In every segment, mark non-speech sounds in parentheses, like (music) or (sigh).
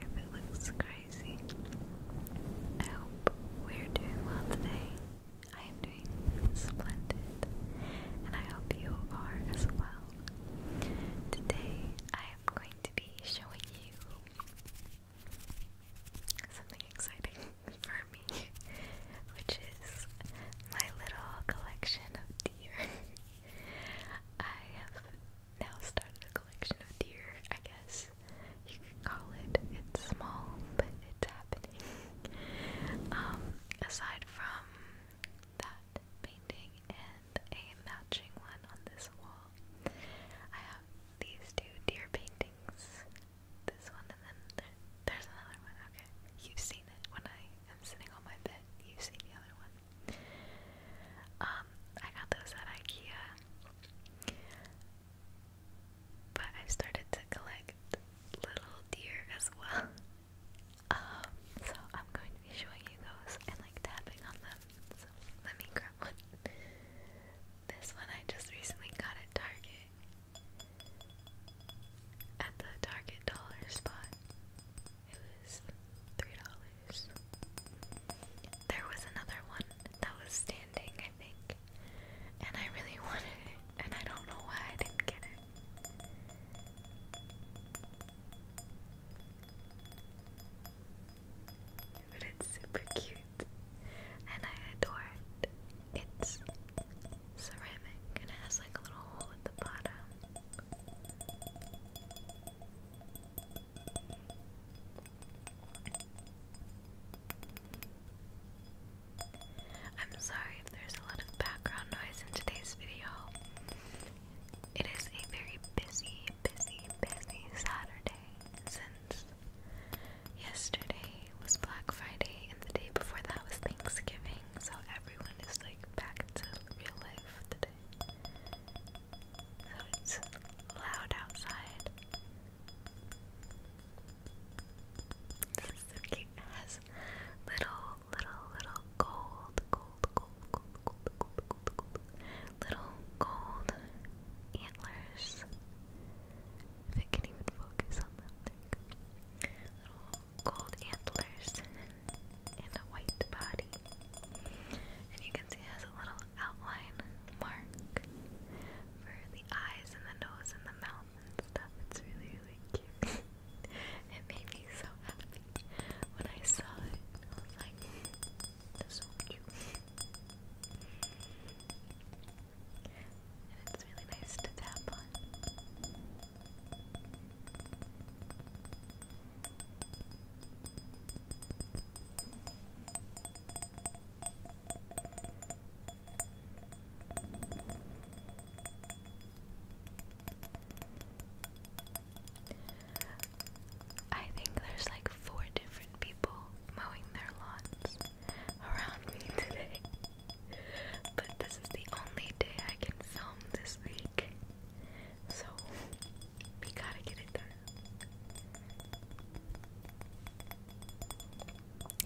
if it looks crazy. I hope we're doing well today. I am doing splendid, and I hope you are as well. Today, I am going to be showing you something exciting (laughs) for me, which is my little collection of deer. (laughs) I have now started a collection of deer, I guess you could call it. It's small, but it's happening. Um, aside from that painting and a matching one on this wall, I have these two deer paintings. This one and then there's another one. Okay, you've seen it when I am sitting on my bed. You've seen the other one. Um, I got those at IKEA. But i started to collect little deer as well. (laughs) Um, so I'm going to be showing you those and like tapping on them. So let me grab one. This one I just recently got at Target. At the Target dollar spot. It was $3. There was another one that was standing, I think, and I really (laughs) wanted it, and I don't know why I didn't get it. But it's super cute, and I adore it. It's ceramic, and it has like a little hole at the bottom. I'm sorry if there's a lot of background noise in today's video. It is a very busy, busy, busy Saturday since yesterday was Black Friday and the day before that was Thanksgiving, so everyone is like back to real life today. So it's loud outside. This is has little, little, little gold, gold, gold, gold, gold, gold, gold, little gold antlers. If it can even focus on them, Little gold antlers and a white body. And you can see it has a little outline mark for the eyes and the nose and the mouth and stuff. It's really, really cute. (laughs) it made me so happy when I saw it. I was like, that's so cute. and it's really nice to tap on. I think there's like four different people mowing their lawns around me today. But this is the only day I can film this week. So we gotta get it done.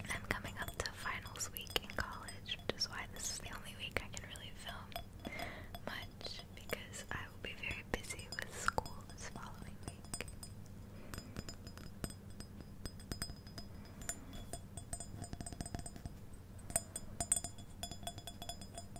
I'm coming up to finals week in college, which is why this is the only week I can really film much because I will be very busy with school this following week.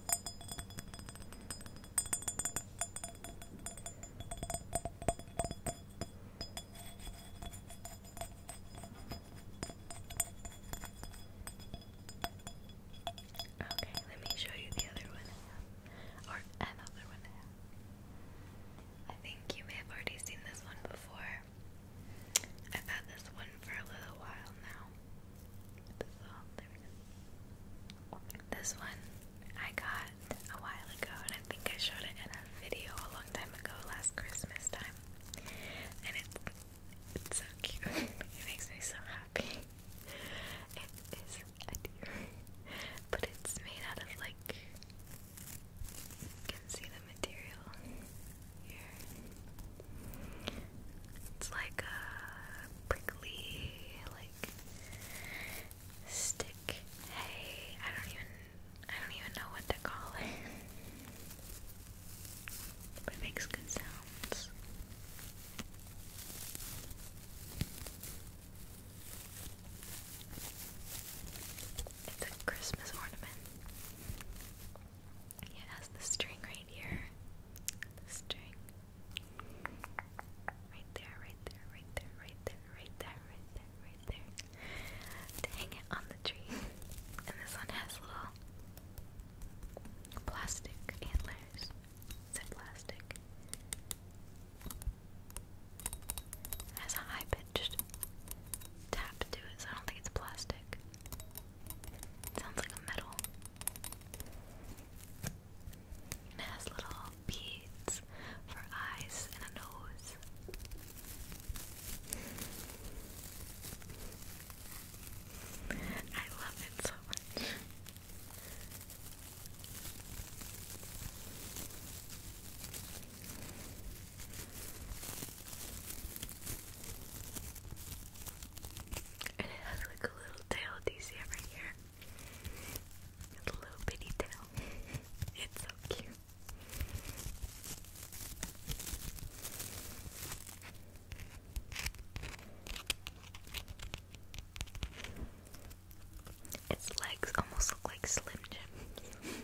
Okay, let me show you the other one Or another one I think you may have already seen this one before. I've had this one for a little while now. Oh, this one I got a while ago, and I think I showed it in a video a long time ago, last Christmas time. And it's so cute. (laughs) it makes me so happy. It is but it's made out of like you can see the material here. It's like a prickly, like stick. Hey, I don't even, I don't even know what to call it, (laughs) but it makes good sounds. It's a Christmas ornament. It has the string right here string. Right there, right there, right there, right there, right there, right there, right there. To hang it on the tree. And this one has little plastic antlers. Is it plastic? has a high pitched tap to it, I don't think it's plastic. Sounds like a metal. it has little beads for eyes and a nose. I love it so much. And it has like a little tail. Do you see it right here? It's a little bitty tail. (laughs) it's so cute. Its legs almost look like Slim Jim. (laughs)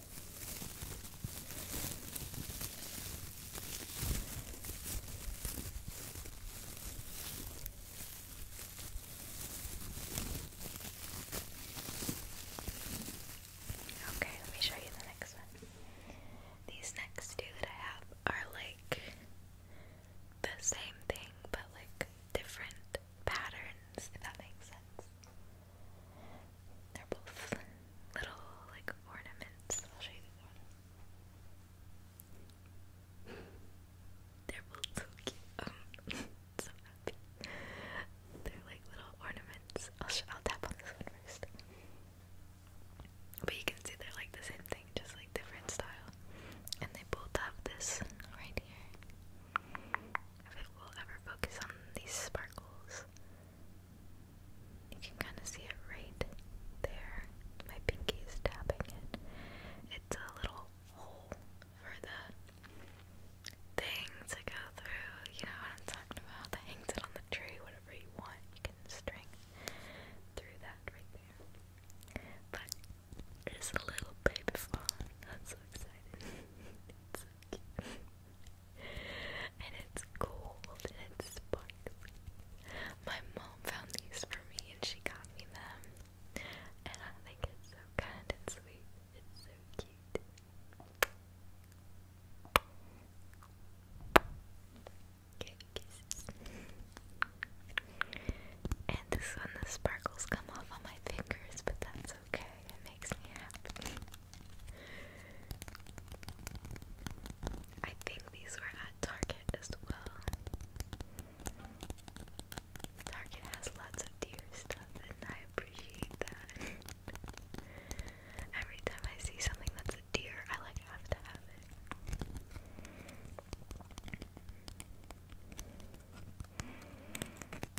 Okay, let me show you the next one. These next two that I have are like the same thing, but like different patterns, if that makes sense. They're both little like ornaments. They're both so cute. (laughs) Um, they're like little ornaments. I'll tap on this one first. But you can see they're like the same thing, just like different style. And they both have this right here if it will ever focus on these sparkles. You can kind of see it right there. My pinky is tapping it. It's a little hole for the thing to go through. You know what I'm talking about? hangs it on the tree, whatever you want. You can string through that right there. But it's a little baby fawn. I'm (laughs) so excited. (laughs) (laughs) and it's gold it's sparkly. My mom found these for me and she got me them. And I think it's so kind and sweet. It's so cute. kisses. And the sparkles come off on my fingers, but that's okay makes me happy. I think these were at Target as well. Target has lots of deer stuff, and I appreciate that. Every time I see something that's a deer, I like have to have it.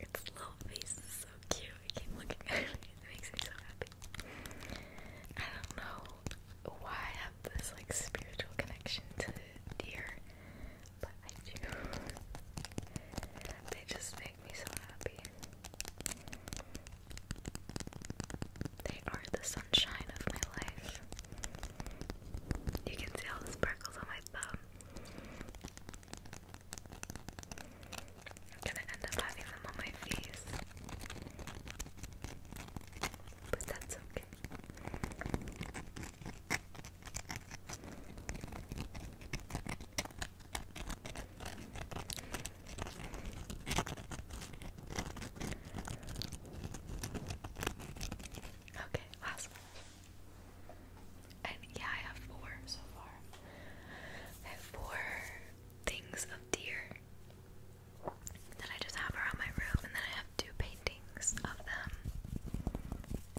Its little face is so cute. I keep looking at it. (laughs) It makes me so happy. I don't know why I have this like spiritual connection to deer, but I do. They just make me so happy. They are the sunshine of my life. You can see all the sparkles on my thumb. I'm gonna end up having them on my face. But that's okay. Okay, last one. And yeah, I have four so far. four things of deer. Then I just have around my room, and then I have two paintings of them.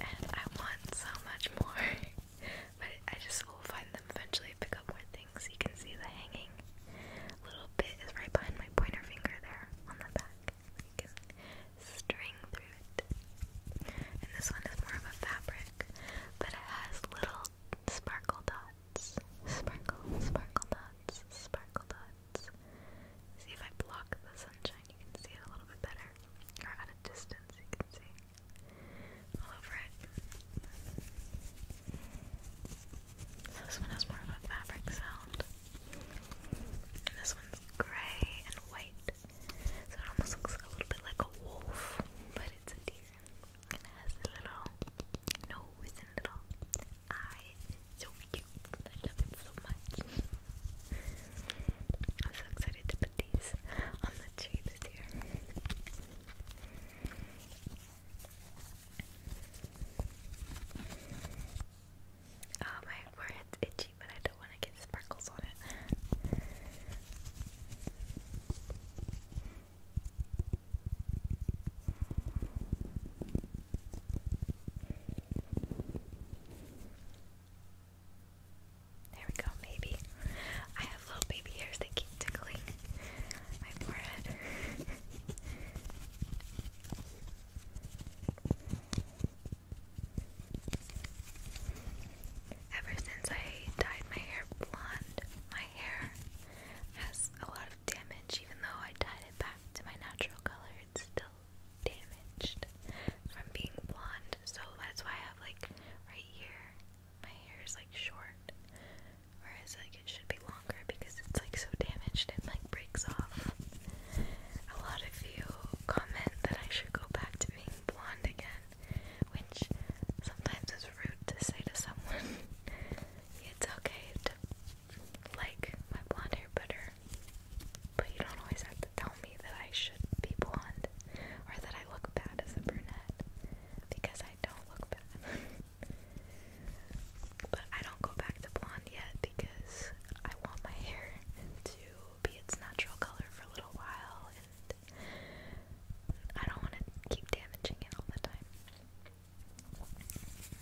And I want so much more, (laughs) but I just will find them eventually. Pick up more things. You can see the hanging little bit is right behind my pointer finger there on the back. You can string through it. And this one is more of a fabric, but it has little sparkle dots dots. Sparkle, sparkle dots, sparkle dots. See if I block the sunshine, you can see it a little bit better. Or at a distance, you can see all over it. So this one has more of a fabric sound. And this one's gray and white. So it almost looks a little bit like a wolf, but it's a deer and it has a little nose and little eye. It's so cute. I love it so much. I'm so excited to put these on the tree this year. Oh, my forehead's itchy, but I don't want to get sparkles on it. There we go, baby. I have little baby hairs that keep tickling my forehead. (laughs) Ever since I dyed my hair blonde, my hair has a lot of damage, even though I dyed it back to my natural color, it's still damaged from being blonde. So that's why I have like right here, my hair is like short, whereas like it should be longer because it's like so damaged and like breaks off. A lot of you comment that I should go back to being blonde again, which sometimes is rude to say to someone. (laughs) it's okay like my blonde hair better, but you don't always have to tell me that I should be blonde or that I look bad as a brunette because I don't look bad. (laughs) But I don't go back to blonde yet because I want my hair to be its natural color for a little while it. I don't want to keep damaging it all the time. Giving you kisses.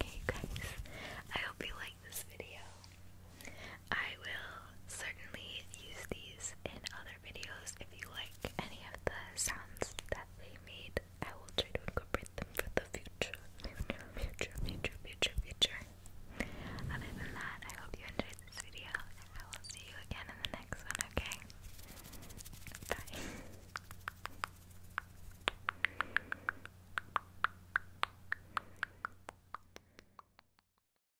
Okay, guys, I hope you like this video. I will certainly use these in other videos. If you like any of the sounds that they made, I will try to incorporate them for the future. Future, future, future, future, Other than that, I hope you enjoyed this video I will see you again in the next one, okay? Bye.